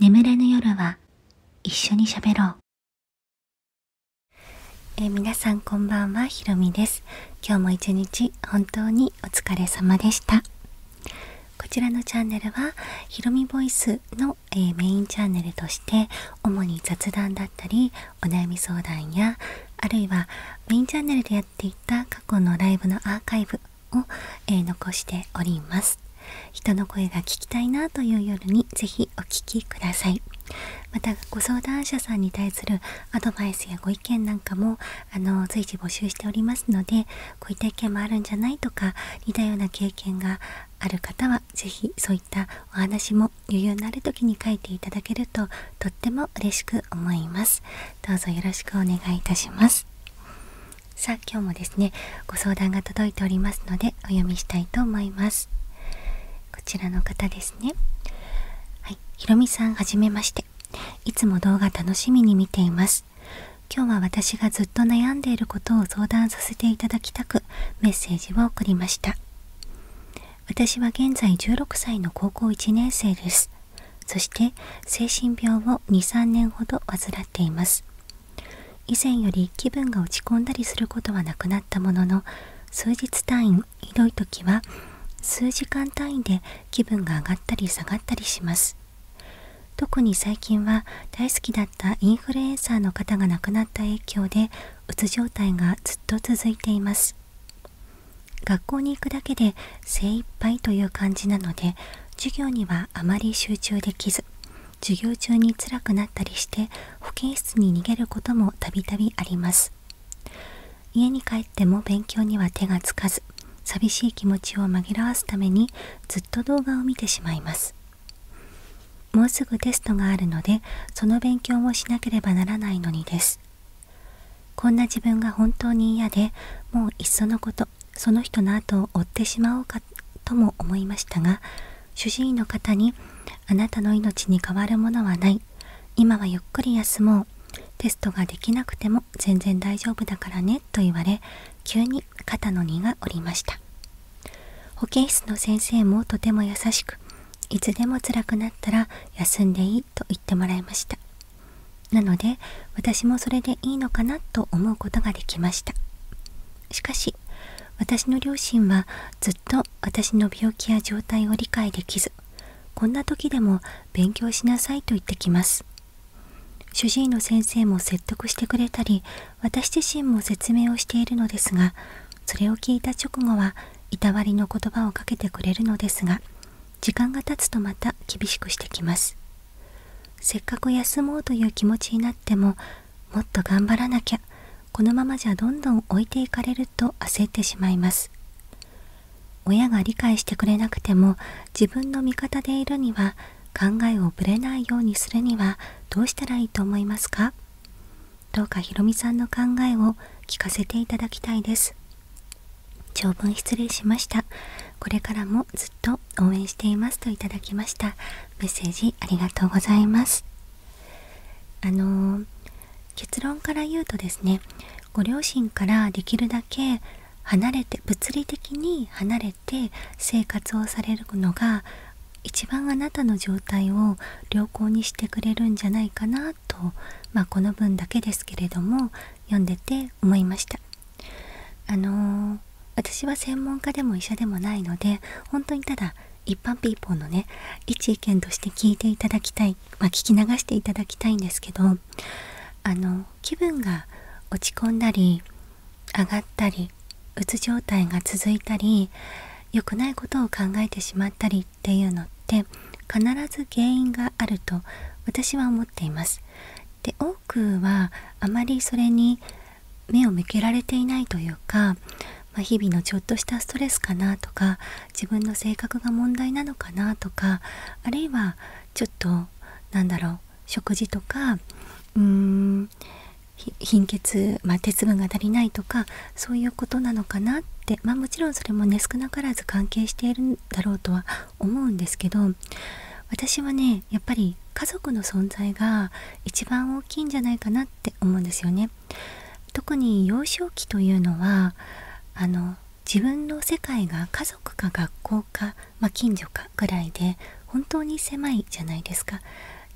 眠れぬ夜は一緒に喋ろう。え皆さんこんばんは、ひろみです。今日も一日本当にお疲れ様でした。こちらのチャンネルは、ひろみボイスの、えメインチャンネルとして、主に雑談だったり、お悩み相談や、あるいはメインチャンネルでやっていた過去のライブのアーカイブを、え残しております人の声が聞きたいなという夜にぜひお聞きくださいまたご相談者さんに対するアドバイスやご意見なんかもあの随時募集しておりますのでこういった意見もあるんじゃないとか似たような経験がある方は是非そういったお話も余裕のある時に書いていただけるととっても嬉しく思いますどうぞよろしくお願いいたしますさあ今日もですねご相談が届いておりますのでお読みしたいと思いますこちらの方ですねはいひろみさんはめましていつも動画楽しみに見ています今日は私がずっと悩んでいることを相談させていただきたくメッセージを送りました私は現在16歳の高校1年生ですそして精神病を23年ほどています以前より気分が落ち込んだりすることはなくなったものの数日単位ひどい時は数時間単位で気分が上がったり下がったりします特に最近は大好きだったインフルエンサーの方が亡くなった影響でうつ状態がずっと続いています学校に行くだけで精一杯という感じなので授業にはあまり集中できず授業中に辛くなったりして保健室に逃げることもたびたびあります家に帰っても勉強には手がつかず寂しい気持ちを紛らわすためにずっと動画を見てしまいますもうすぐテストがあるのでその勉強もしなければならないのにですこんな自分が本当に嫌でもういっそのことその人の後を追ってしまおうかとも思いましたが主治医の方に「あなたの命に変わるものはない」「今はゆっくり休もう」「テストができなくても全然大丈夫だからね」と言われ急に肩の荷が下りました保健室の先生もとても優しくいつでも辛くなったら休んでいいと言ってもらいましたなので私もそれでいいのかなと思うことができましたしかし私の両親はずっと私の病気や状態を理解できずこんな時でも勉強しなさいと言ってきます主治医の先生も説得してくれたり私自身も説明をしているのですがそれを聞いた直後はいたわりの言葉をかけてくれるのですが時間が経つとまた厳しくしてきますせっかく休もうという気持ちになってももっと頑張らなきゃこのままじゃどんどん置いていかれると焦ってしまいます親が理解してくれなくても自分の味方でいるには考えをぶれないようにするにはどうしたらいいと思いますかどうかひろみさんの考えを聞かせていただきたいです長文失礼しましたこれからもと応援していますといただきましたメッセージありがとうございますあの結論から言うとですねご両親からできるだけ離れて物理的に離れて生活をされるのが一番あなたの状態を良好にしてくれるんじゃないかなと、まこの文だけですけれども読んでて思いました。あの私は専門家でも医者でもないので本当にただ一般ピーポーのね一意見として聞いていただきたい、ま聞き流していただきたいんですけどあの気分が落ち込んだり上がったりうつ状態が続いたり良くないことを考えてしまったりっていうのって必ず原因があると私は思っています。で多くはあまりそれに目を向けられていないというか、ま日々のちょっとしたストレスかなとか自分の性格が問題なのかなとかあるいはちょっとなんだろう食事とかうーん貧血、ま鉄分が足りないとかそういうことなのかなってまあもちろんそれもね少なからず関係しているんだろうとは思うんですけど私はねやっぱりり家族の存在が一番大きいんじゃないかなって思うんですよね。特に幼少期というのはあの自分の世界が家族か学校か、まあ、近所かぐらいで本当に狭いじゃないですか。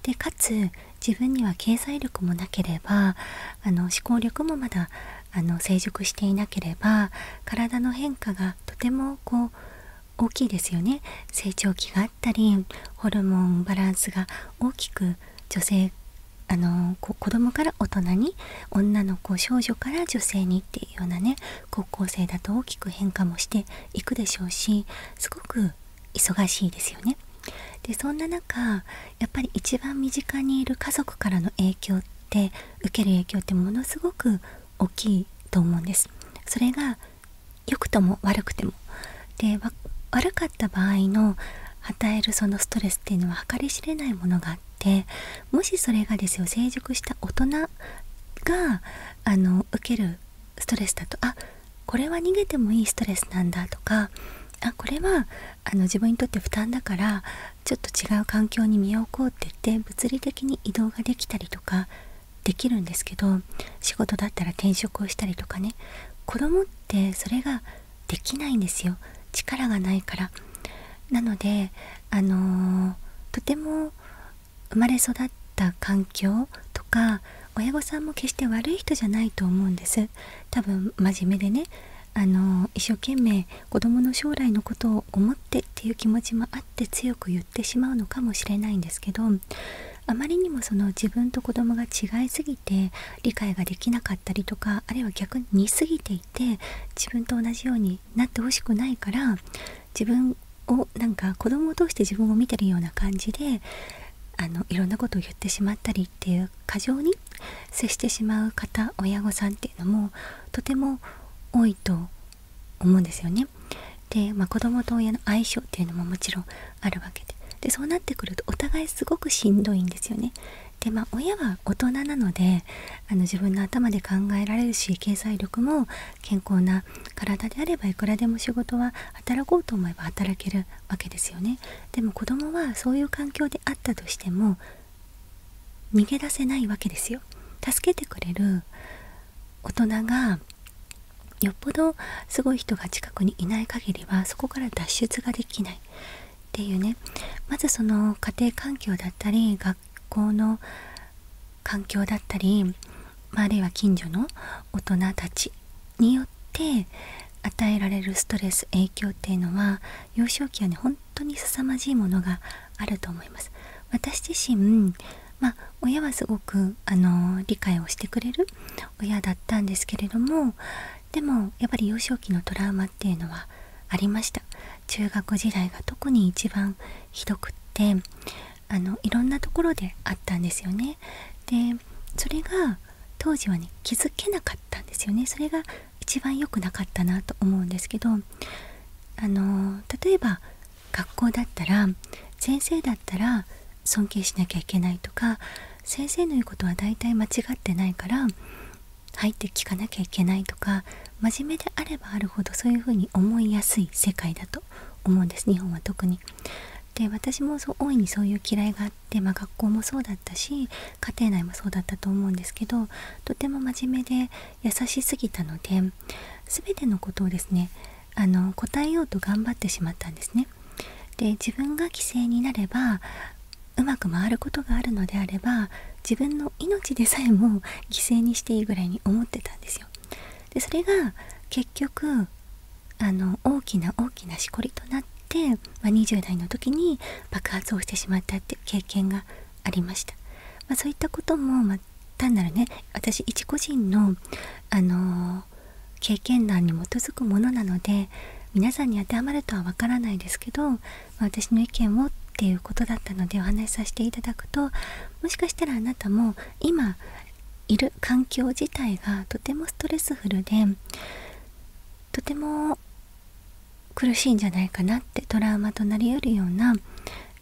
でかつ自分には経済力もなければあの思考力もまだあの成熟していなければ体の変化がとてもこう大きいですよね成長期があったりホルモンバランスが大きく女性あの子供から大人に女の子少女から女性にっていうようなね高校生だと大きく変化もしていくでしょうしすごく忙しいですよね。でそんな中やっぱり一番身近にいる家族からの影響って受ける影響ってものすごく大きいと思うんです。それが良くとも悪くてもで悪かった場合の与えるそのストレスっていうのは計り知れないものがあってもしそれがですよ成熟した大人があの受けるストレスだとあこれは逃げてもいいストレスなんだとかあこれはあの自分にとって負担だからちょっと違う環境に身を置こうって言って物理的に移動ができたりとかできるんですけど仕事だったら転職をしたりとかね子供ってそれができないんですよ力がないからなのであのとても生まれ育った環境とか親御さんも決して悪い人じゃないと思うんです多分真面目でねあの一生懸命子供の将来のことを思ってっていう気持ちもあって強く言ってしまうのかもしれないんですけどあまりにもその自分と子供が違いすぎて理解ができなかったりとかあるいは逆に似すぎていて自分と同じようになってほしくないから自分をなんか子供を通して自分を見てるような感じであのいろんなことを言ってしまったりっていう過剰に接してしまう方親御さんっていうのもとても多いと思うんですよね。で、まあ、子供と親の相性っていうのももちろんあるわけででそうなってくるとお互いすごくしんどいんですよね。でまあ、親は大人なのであの自分の頭で考えられるし経済力も健康な体であればいくらでも仕事は働こうと思えば働けるわけですよねでも子供はそういう環境であったとしても逃げ出せないわけですよ助けてくれる大人がよっぽどすごい人が近くにいない限りはそこから脱出ができないっていうねまずその家庭環境だったり学校の環境だったり、あ、あるいは近所の大人たちによって与えられるストレス影響っていうのは幼少期はね本当に凄まじいものがあると思います私自身親はすごく、理解をしてくれる親だったんですけれどもでもやっぱり幼少期のトラウマっていうのはありました中学時代が特に一番ひどくっていろんなところであったんですよねでそれが当時はね気づけなかったんですよねそれが一番良くなかったなと思うんですけど例えば学校だったら先生だったら尊敬しなきゃいけないとか先生の言うことは大体間違ってないから入って聞かなきゃいけないとか真面目であればあるほどそういうふうに思いやすい世界だと思うんです日本は特に。で私もそう大いにそういう嫌いがあって、ま学校もそうだったし家庭内もそうだったと思うんですけどとても真面目で優しすぎたので全てのことをですねあの答えようと頑張ってしまったんですね。で自分が犠牲になればうまく回ることがあるのであれば自分の命でさえも犠牲にしていいぐらいに思ってたんですよ。でそれが結局あの大きな大きなしこりとなって、ま20代の時に爆発をしてしまったって経験がありました。まそういったことも、ま単なるね私一個人の、あの経験談に基づくものなので皆さんに当てはまるとはわからないですけど、私の意見をっていうことだったのでお話しさせていただくともしかしたらあなたも今いる環境自体がとてもストレスフルでとても苦しいんじゃないかなってトラウマとなりうるような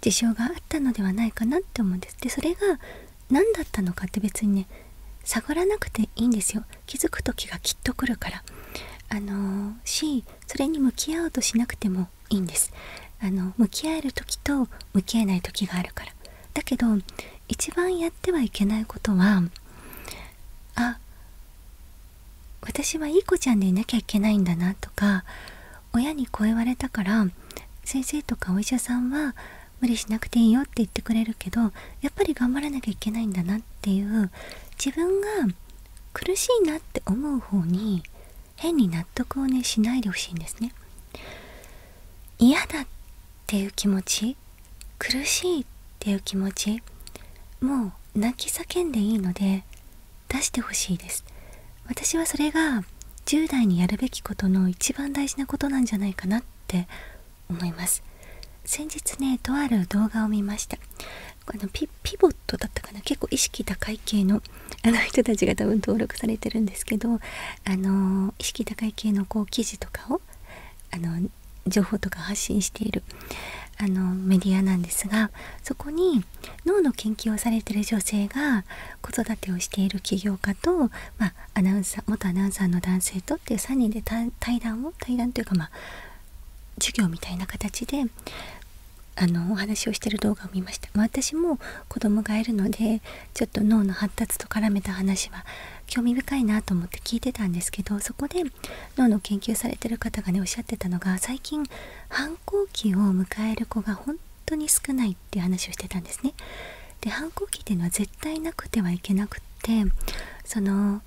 事象があったのではないかなって思うんです。でそれが何だったのかって別にね探らなくていいんですよ気づく時がきっと来るからあのー、しそれに向き合おうとしなくてもいいんですあの向き合える時と向き合えない時があるからだけど一番やってはいけないことはあ私はいい子ちゃんでいなきゃいけないんだなとか親にこう言われたから先生とかお医者さんは無理しなくていいよって言ってくれるけどやっぱり頑張らなきゃいけないんだなっていう自分が苦しいなって思う方に変に納得をねしないでほしいんですね。嫌だっていう気持ち苦しいっていう気持ちもう泣き叫んでいいので出してほしいです。私はそれが10代にやるべきことの一番大事なことなんじゃないかなって思います先日ねとある動画を見ましたあのピボットだったかな結構意識高い系の あの人たちが多分登録されてるんですけどあの意識高い系のこう記事とかをあの情報とか発信しているあのメディアなんですがそこに脳の研究をされてる女性が子育てをしている起業家と、まあ、アナウンサー元アナウンサーの男性とっていう3人で対談を対談というかま授業みたいな形であのお話をしてる動画を見ました、ま私も子供がいるのでちょっと脳の発達と絡めた話は興味深いなと思って聞いてたんですけどそこで脳の研究されてる方がねおっしゃってたのが最近反抗期を迎える子が本当に少ないって話をしてたんですね。で反抗期っていうのは絶対なくてはいけなくってその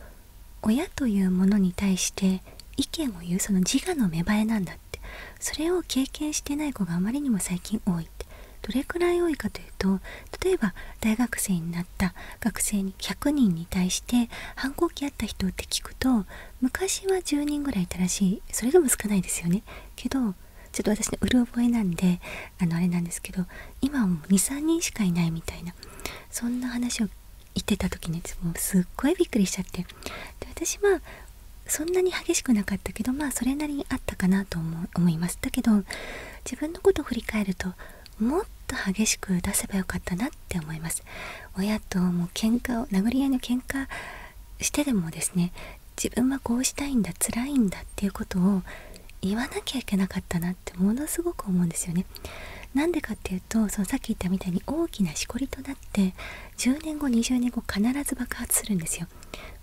親というものに対して意見を言うその自我の芽生えなんだってそれを経験してない子があまりにも最近多いってどれくらい多いかというと例えば大学生になった学生に100人に対して反抗期あった人って聞くと昔は10人ぐらいいたらしいそれでも少ないですよねけどちょっと私のうる覚えなんであのあれなんですけど今はもう23人しかいないみたいなそんな話を言ってた時にもすっごいびっくりしちゃってで私はそんなに激しくなかったけどまあそれなりにあったかなと思いますだけど自分のことを振り返るともっと激しく出せばよかったなって思います親ともう喧嘩を殴り合いの喧嘩してでもですね自分はこうしたいんだ辛いんだっていうことを言わなきゃいけなかったなってものすごく思うんですよね。なんでかっていうとそのさっき言ったみたいに大きなしこりとなって10年後20年後必ず爆発するんですよ。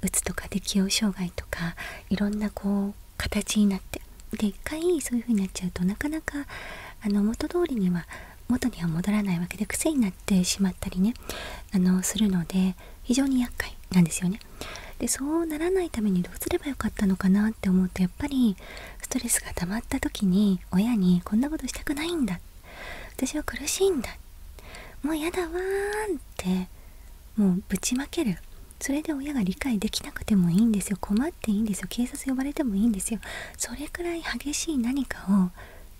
うつとか適応障害とかいろんなこう形になってで一回そういう風になっちゃうとなかなかあの元通りには元には戻らないわけで癖になってしまったりねあのするので非常に厄介なんですよね。でそうならないためにどうすればよかったのかなって思うとやっぱりストレスが溜まった時に親にこんなことしたくないんだ私は苦しいんだもうやだわーんってもうぶちまけるそれで親が理解できなくてもいいんですよ困っていいんですよ警察呼ばれてもいいんですよそれくらい激しい何かを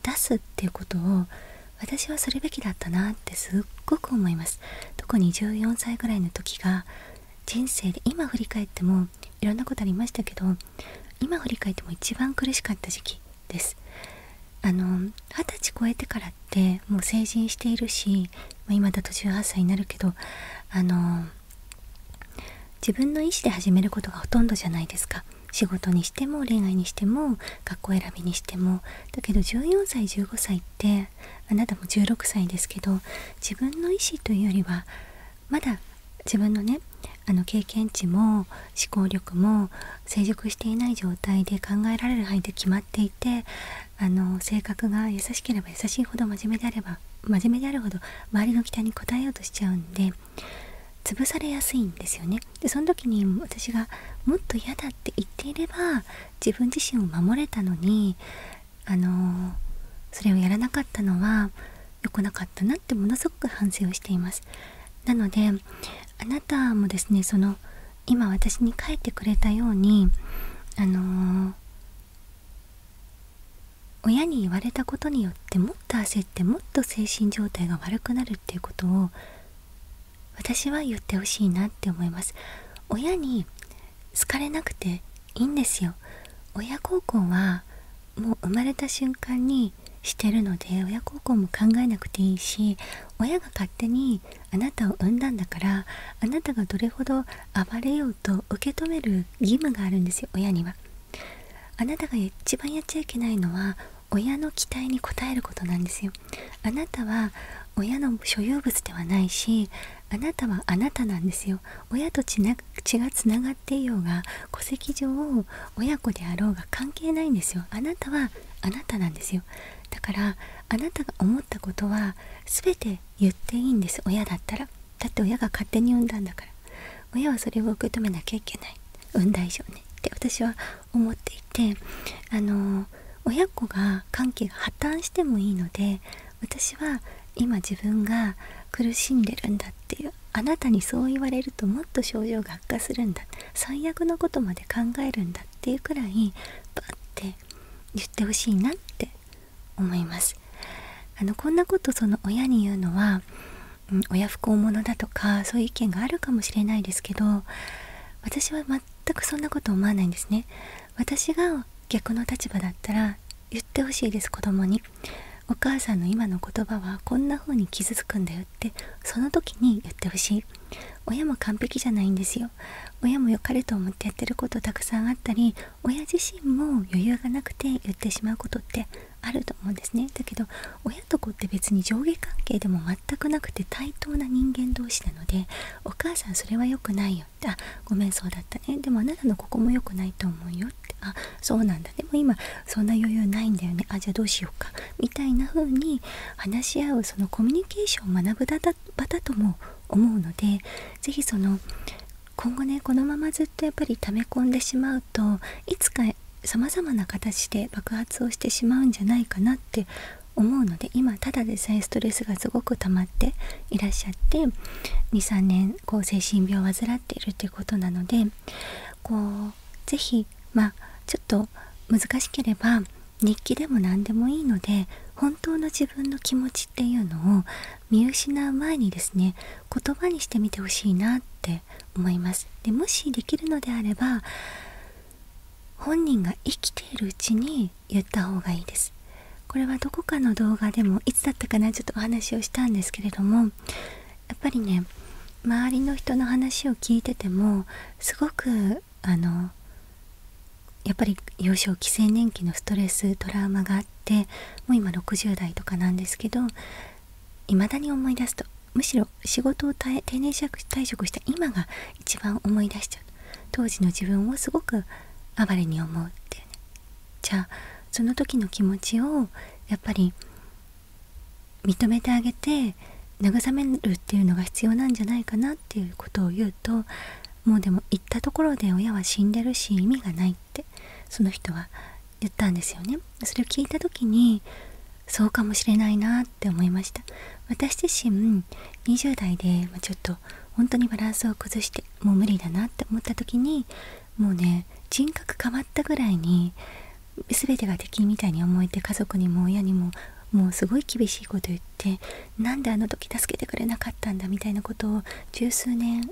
出すっていうことを私はするべきだったなってすっごく思います特に14歳ぐらいの時が人生で今振り返ってもいろんなことありましたけど今振り返っても一番苦しかった時期ですあの二十歳超えてからってもう成人しているし、まあ、今だと18歳になるけどあの自分の意思で始めることがほとんどじゃないですか仕事にしても恋愛にしても学校選びにしてもだけど14歳15歳ってあなたも16歳ですけど自分の意思というよりはまだ自分のねあの経験値も思考力も成熟していない状態で考えられる範囲で決まっていてあの性格が優しければ優しいほど真面目であれば真面目であるほど周りの期待に応えようとしちゃうんで潰されやすいんですよね。でその時に私がもっと嫌だって言っていれば自分自身を守れたのにあのそれをやらなかったのは良くなかったなってものすごく反省をしていますなのであなたもですねその今私に書いてくれたようにあの親に言われたことによってもっと焦ってもっと精神状態が悪くなるっていうことを私は言ってほしいなって思います親に好かれなくていいんですよ親孝行はもう生まれた瞬間にしてるので親孝行も考えなくていいし親が勝手にあなたを産んだんだからあなたがどれほど暴れようと受け止める義務があるんですよ親にはあなたが一番やっちゃいけないのは親の期待に応えることなんですよあなたは親の所有物ではないしあなたはあなたなんですよ親と血がつながっていようが戸籍上親子であろうが関係ないんですよあなたはあなたなんですよだからあなたが思ったことは全て言っていいんです親だったらだって親が勝手に産んだんだから親はそれを受け止めなきゃいけない産んだ以上ねって私は思っていてあの親子が関係が破綻してもいいので私は今自分が苦しんでるんだっていうあなたにそう言われるともっと症状が悪化するんだ最悪のことまで考えるんだっていうくらいバッて言ってほしいなって思いますあのこんなことその親に言うのは、親不幸者だとかそういう意見があるかもしれないですけど私は全全くそんなこと思わないんですね私が逆の立場だったら言ってほしいです子供にお母さんの今の言葉はこんな風に傷つくんだよってその時に言ってほしい親も完璧じゃないんですよ親も良かれと思ってやってることたくさんあったり親自身も余裕がなくて言ってしまうことってあると思うんですねだけど親と子って別に上下関係でも全くなくて対等な人間同士なので「お母さんそれは良くないよ」ごめんそうだったねでもあなたのここも良くないと思うよ」って「あそうなんだでも今そんな余裕ないんだよねあじゃあどうしようか」みたいな風に話し合うそのコミュニケーションを学ぶ場だとも思うので是非その今後ねこのままずっとやっぱり溜め込んでしまうといつかさまざまな形で爆発をしてしまうんじゃないかなって思うので今ただでさえストレスがすごく溜まっていらっしゃって23年こ精神病を患っているということなのでこう是非まちょっと難しければ日記でも何でもいいので本当の自分の気持ちっていうのを見失う前にですね言葉にしてみてほしいなって思います。でもしできるのであれば本人が生きているうちに言った方がいいですこれはどこかの動画でもいつだったかなちょっとお話をしたんですけれどもやっぱりね周りの人の話を聞いててもすごくあのやっぱり幼少期青年期のストレストラウマがあってもう今60代とかなんですけどいまだに思い出すとむしろ仕事を定年退職した今が一番思い出しちゃう当時の自分をすごく哀れに思うっていうねじゃあその時の気持ちをやっぱり認めてあげて慰めるっていうのが必要なんじゃないかなっていうことを言うともうでも行ったところで親は死んでるし意味がないってその人は言ったんですよねそれを聞いた時にそうかもしれないなって思いました私自身20代でちょっと本当にバランスを崩してもう無理だなって思った時にもうね人格変わったぐらいに全てが敵みたいに思えて家族にも親にももうすごい厳しいこと言ってなんであの時助けてくれなかったんだみたいなことを十数年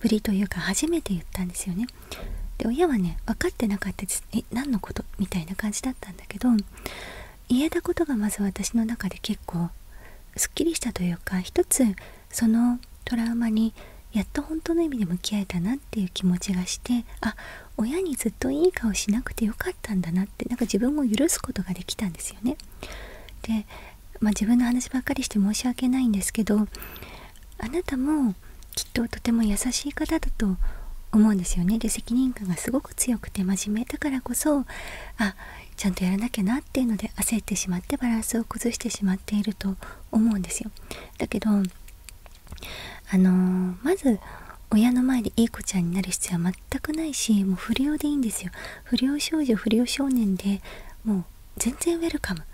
ぶりというか初めて言ったんですよね。で親はね分かってなかったです「え何のこと?」みたいな感じだったんだけど言えたことがまず私の中で結構すっきりしたというか一つそのトラウマにやっと本当の意味で向き合えたなっていう気持ちがしてあ親にずっといい顔しなくてよかったんだなってなんか自分を許すことができたんですよね。で、ま自分の話ばっかりして申し訳ないんですけどあなたもきっととても優しい方だと思うんですよねで責任感がすごく強くて真面目だからこそちゃんとやらなきゃなっていうので焦ってしまってバランスを崩してしまっていると思うんですよ。だけどあのまず親の前でいい子ちゃんになる必要は全くないしもう不良でいいんですよ不良少女不良少年でもう全然ウェルカム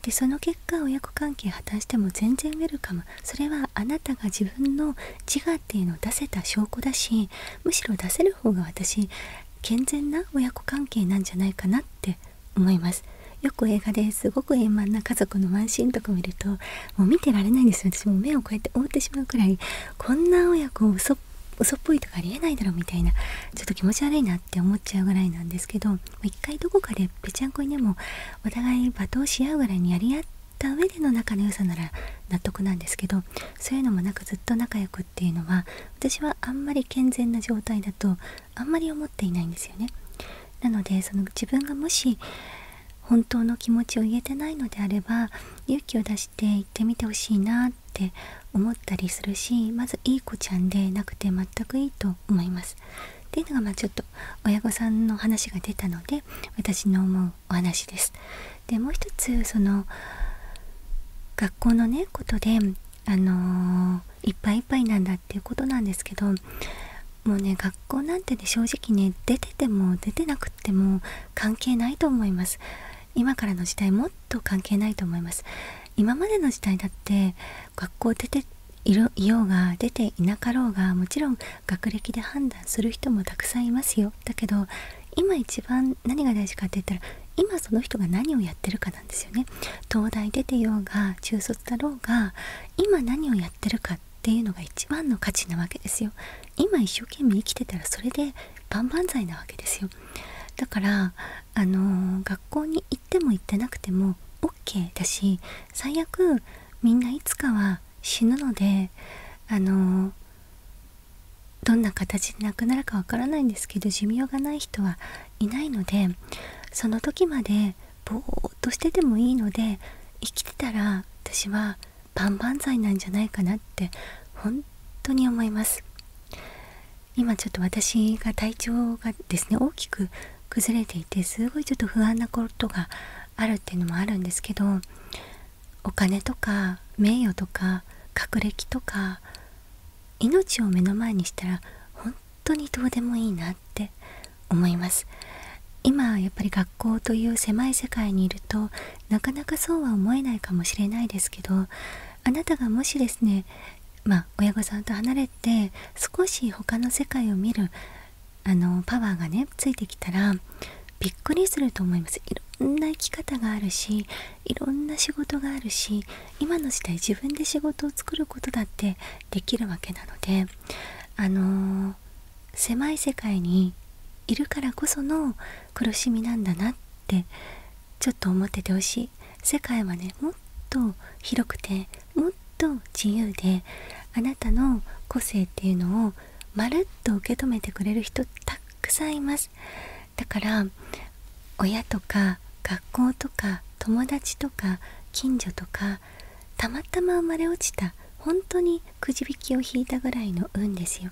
でその結果親子関係破綻しても全然ウェルカムそれはあなたが自分の自我っていうのを出せた証拠だしむしろ出せる方が私健全な親子関係なんじゃないかなって思いますよく映画ですごく円満な家族のワンシーンとか見るともう見てられないんです私も目をこうやって覆ってしまうくらいこんな親子を嘘っぽいとかありえないだろう。みたいなちょっと気持ち悪いなって思っちゃうぐらいなんですけど一回どこかでぺちゃんこにでもお互い罵倒し合うぐらいにやり合った上での仲の良さなら納得なんですけどそういうのもなくずっと仲良くっていうのは私はあんまり健全な状態だとあんまり思っていないんですよね。なのでその自分がもし本当の気持ちを言えてないのであれば勇気を出して行ってみてほしいなって思ったりするしまずいい子ちゃんでなくて全くいいと思います。っていうのがまあちょっと親御さんの話が出たので私の思うお話です。でもう一つその学校のねことであのいっぱいいっぱいなんだっていうことなんですけどもうね学校なんてね正直ね出てても出てなくっても関係ないと思います今からの時代もっと関係ないと思います今までの時代だって学校出ていようが出ていなかろうがもちろん学歴で判断する人もたくさんいますよだけど今一番何が大事かって言ったら今その人が何をやってるかなんですよね東大出てようが中卒だろうが今何をやってるかっていうのが一番の価値なわけですよ今一生懸命生きてたらそれで万々歳なわけですよだからあの学校に行っても行ってなくても OK だし最悪みんないつかは死ぬのであのどんな形で亡くなるかわからないんですけど寿命がない人はいないのでその時までぼーっとしててもいいので生きてたら私は万々歳なんじゃないかなって本当に思います今ちょっと私が体調がですね大きく崩れていてすごいちょっと不安なことがあるっていうのもあるんですけどお金とか名誉とか学歴とか命を目の前にしたら本当にどうでもいいなって思います今やっぱり学校という狭い世界にいるとなかなかそうは思えないかもしれないですけどあなたがもしですね親御さんと離れて少し他の世界を見るパワーがねついてきたらびっくりすると思いますいろんな生き方があるしいろんな仕事があるし今の時代自分で仕事を作ることだってできるわけなのであの狭い世界にいるからこその苦しみなんだなってちょっと思っててほしい世界はねもっと広くてもっと自由であなたの個性っていうのをまるっと受け止めてくれる人たくさんいますだから親とか学校とか友達とか近所とかたまたま生まれ落ちた本当にくじ引きを引いたぐらいの運ですよ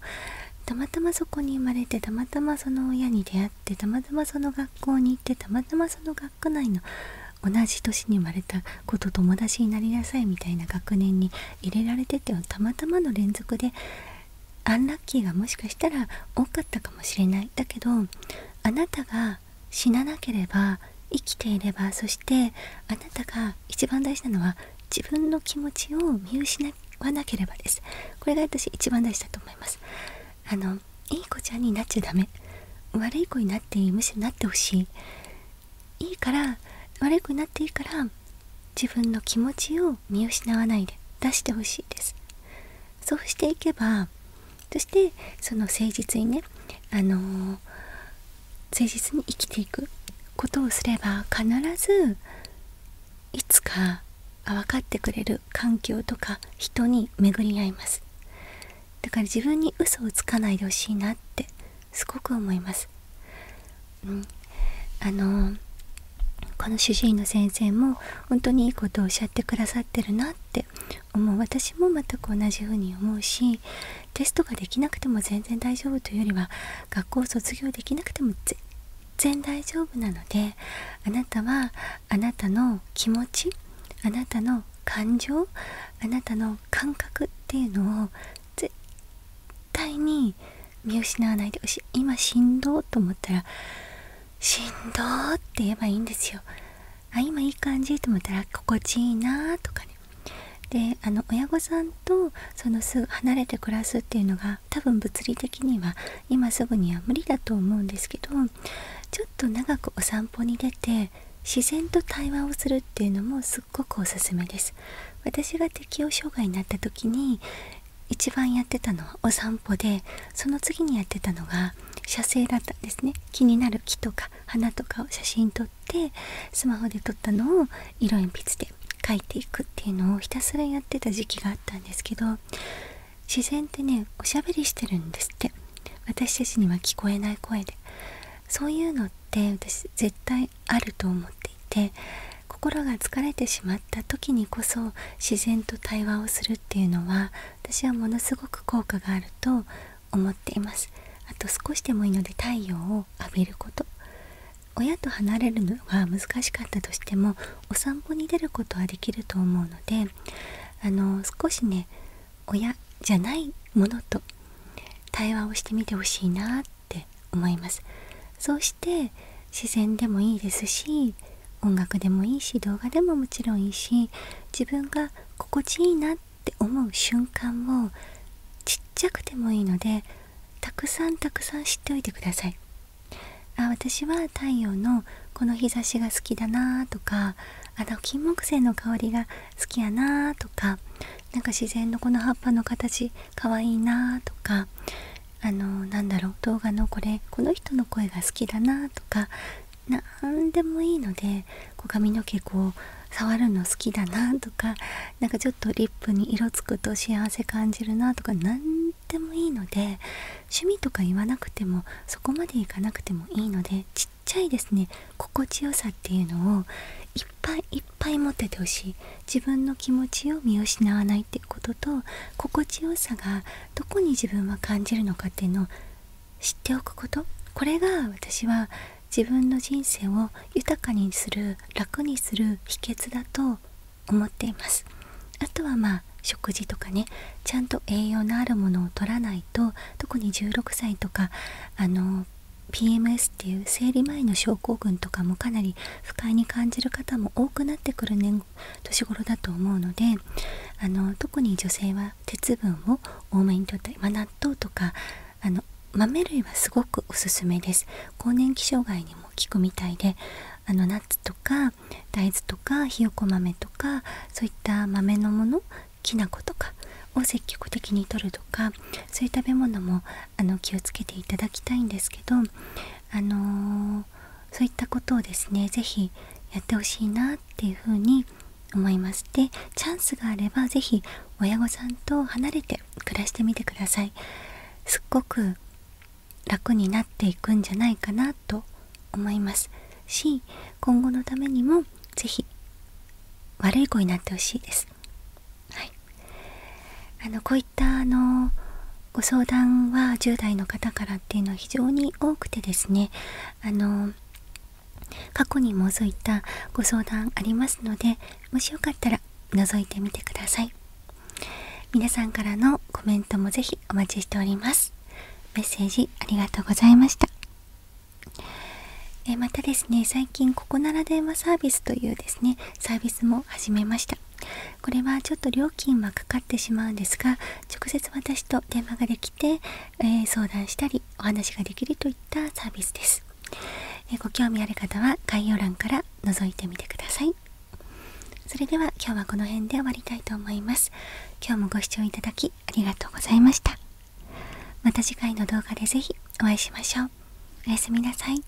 たまたまそこに生まれてたまたまその親に出会ってたまたまその学校に行ってたまたまその学区内の同じ年に生まれた子と友達になりなさいみたいな学年に入れられてってたまたまの連続でアンラッキーがもしかしたら多かったかもしれないだけどあなたが死ななければ生きていればそしてあなたが一番大事なのは自分の気持ちを見失わなければですこれが私一番大事だと思いますあのいい子ちゃんになっちゃダメ悪い子になってむしろなってほしいいいから悪くなっていいから自分の気持ちを見失わないで出してほしいですそうしていけばそしてその誠実にねあの誠実に生きていくことをすれば必ずいつか分かってくれる環境とか人に巡り合いますだから自分に嘘をつかないでほしいなってすごく思いますうん、あのこの主治医の先生も本当にいいことをおっしゃってくださってるなって思う私も全く同じふうに思うしテストができなくても全然大丈夫というよりは学校を卒業できなくても全然大丈夫なのであなたはあなたの気持ちあなたの感情あなたの感覚っていうのを全絶対に見失わないで今しんどと思ったらしんどって言えばいいんですよ今いい感じと思ったら心地いいなとかねであの親御さんとそのすぐ離れて暮らすっていうのが多分物理的には今すぐには無理だと思うんですけどちょっと長くお散歩に出て自然と対話をするっていうのもすっごくおすすめです私が適応障害になった時に一番やってたのはお散歩でその次にやってたのが写生だったんですね気になる木とか花とかを写真撮ってスマホで撮ったのを色鉛筆で描いていくっていうのをひたすらやってた時期があったんですけど自然ってねおしゃべりしてるんですって私たちには聞こえない声でそういうのって私絶対あると思っていて心が疲れてしまった時にこそ自然と対話をするっていうのは私はものすごく効果があると思っていますあと少しでもいいので太陽を浴びること親と離れるのが難しかったとしてもお散歩に出ることはできると思うのであの少しね親じゃないものと対話をしてみてほしいなっって思いますそうして自然でもいいですし音楽でもいいし動画でももちろんいいし自分が心地いいなって思う瞬間をちっちゃくてもいいのでたくさんたくさん知っておいてくださいあ私は太陽のこの日差しが好きだなとかあのキンモクセイの香りが好きやなとかなんか自然のこの葉っぱの形かわいいなとかあのなんだろう動画のこれこの人の声が好きだなとか何でもいいのでこ髪の毛こう触るの好きだなとかなんかちょっとリップに色つくと幸せ感じるなとか何でもいいので趣味とか言わなくてもそこまでいかなくてもいいのでちっちゃいですね心地よさっていうのをいっぱいいっぱい持っててほしい自分の気持ちを見失わことと心地よさがどこに自分は感じるのかっていうのを知っておくことこれが私は自分の人生を豊かにする楽にする秘訣だと思っていますあとはまあ食事とかねちゃんと栄養のあるものを取らないと特に16歳とかあの PMS っていう生理前の症候群とかもかなり不快に感じる方も多くなってくる年年頃だと思うのであの特に女性は鉄分を多めにとってま納豆とかあの豆類はすごくおすすめです更年期障害にも効くみたいであのナッツとか大豆とかひよこ豆とかそういった豆のものきな粉とかを積極的にとるとかそういう食べ物もあの気をつけていただきたいんですけど、あのそういったことをですね是非やってほしいなっていうふうに思いますでチャンスがあれば是非親御さんと離れて暮らしてみてくださいすっごく楽になっていくんじゃないかなと思いますし今後のためにも是非悪い子になってほしいですはいあのこういったあのご相談は10代の方からっていうのは非常に多くてですねあの過去にもそういったご相談ありますのでもしよかったら覗いてみてください皆さんからのコメントもぜひお待ちしておりますメッセージありがとうございましたえまたですね最近ここなら電話サービスというですねサービスも始めましたこれはちょっと料金はかかってしまうんですが直接私と電話ができて、え相談したりお話ができるといったサービスです、えご興味ある方は概要欄から覗いてみてくださいそれでは今日はこの辺で終わりたいと思います今日もご視聴いただきありがとうございましたまた次回の動画で是非お会いしましょうおやすみなさい